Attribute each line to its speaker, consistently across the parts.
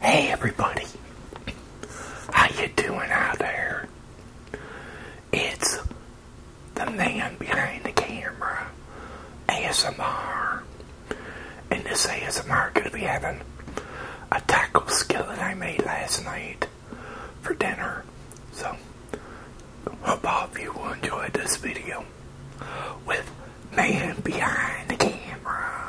Speaker 1: Hey everybody, how you doing out there? It's the man behind the camera, ASMR, and this ASMR gonna be having a taco skillet I made last night for dinner. So, hope all of you will enjoy this video with Man Behind the Camera.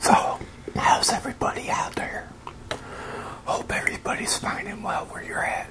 Speaker 1: So, how's everybody out there? Hope everybody's fine and well where you're at.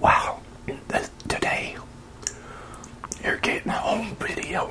Speaker 1: Wow, today you're getting a home video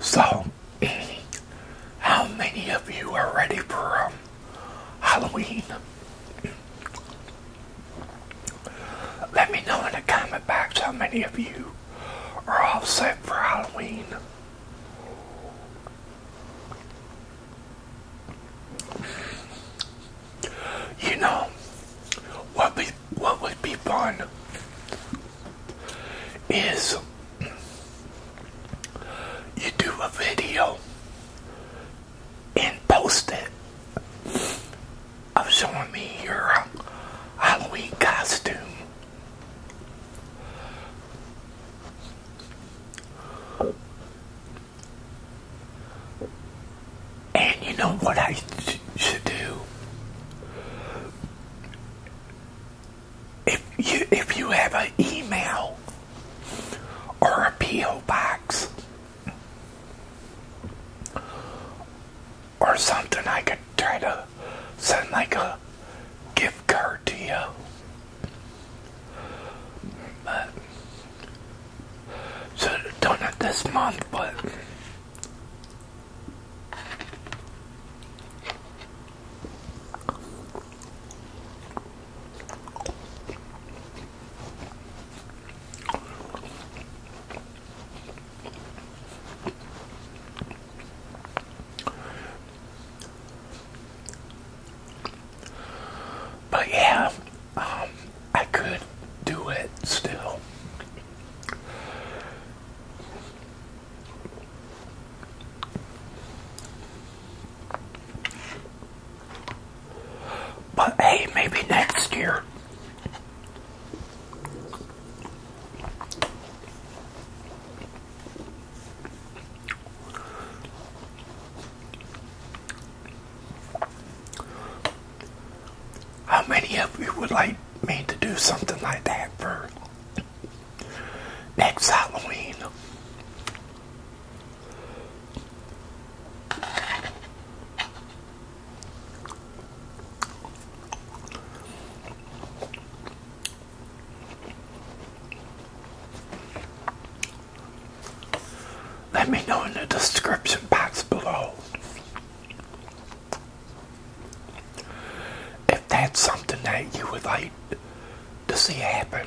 Speaker 1: So, how many of you are ready for um, Halloween? Let me know in the comment box how many of you are all set for Halloween. You know what we what would be fun is you do a video and post it of showing me your Halloween costume and you know what I should do? If you if you have an email or a PO box or something, I could try to send like a gift card to you. But should have done this month, but but yeah, um, I could do it still. But hey, maybe next year. How many of you would like me to do something like that for next Halloween? Let me know in the description box below if that's something that you would like to see happen.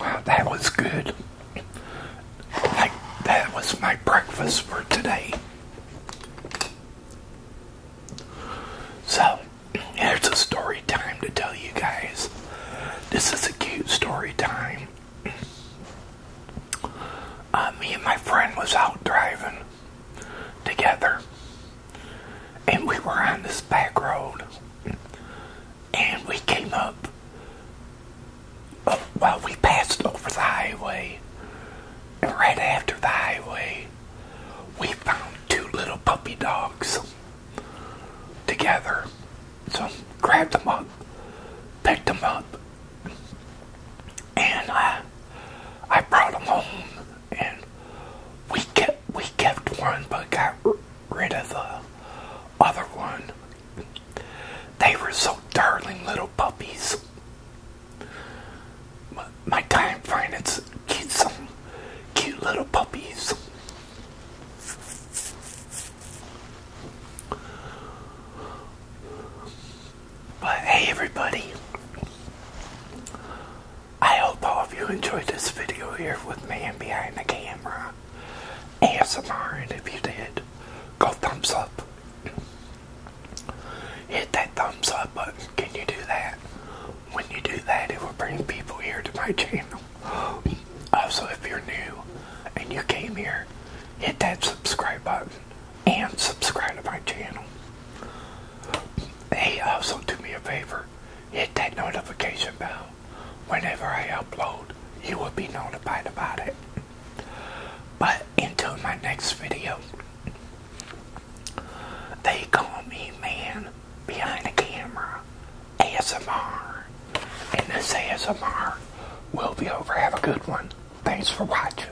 Speaker 1: Wow, that was good. Like, that was my breakfast for today. So, here's a story time to tell you guys. This is a cute story time. Uh, me and my friend was out driving together and we were on this back road and we came up While we passed over the highway and right after the highway we found two little puppy dogs together so grabbed them up picked them up and I, uh, I brought them home and we kept we kept one but got rid of the other one. They were so darling little puppies. My, my time finding cute, some cute little puppies. But hey, everybody, I hope all of you enjoyed this video here with me and behind the camera. ASMR, and if you did, go thumbs up. Hit that thumbs up button. Can you do that? When you do that, it will bring people here to my channel. Also, if you're new and you came here, hit that subscribe button and subscribe to my channel. Hey, also uh, do me a favor, hit that notification bell. Whenever I upload, you will be notified about it. But until my next video, they call me man behind the camera, ASMR. And this ASMR will be over. Have a good one. Thanks for watching.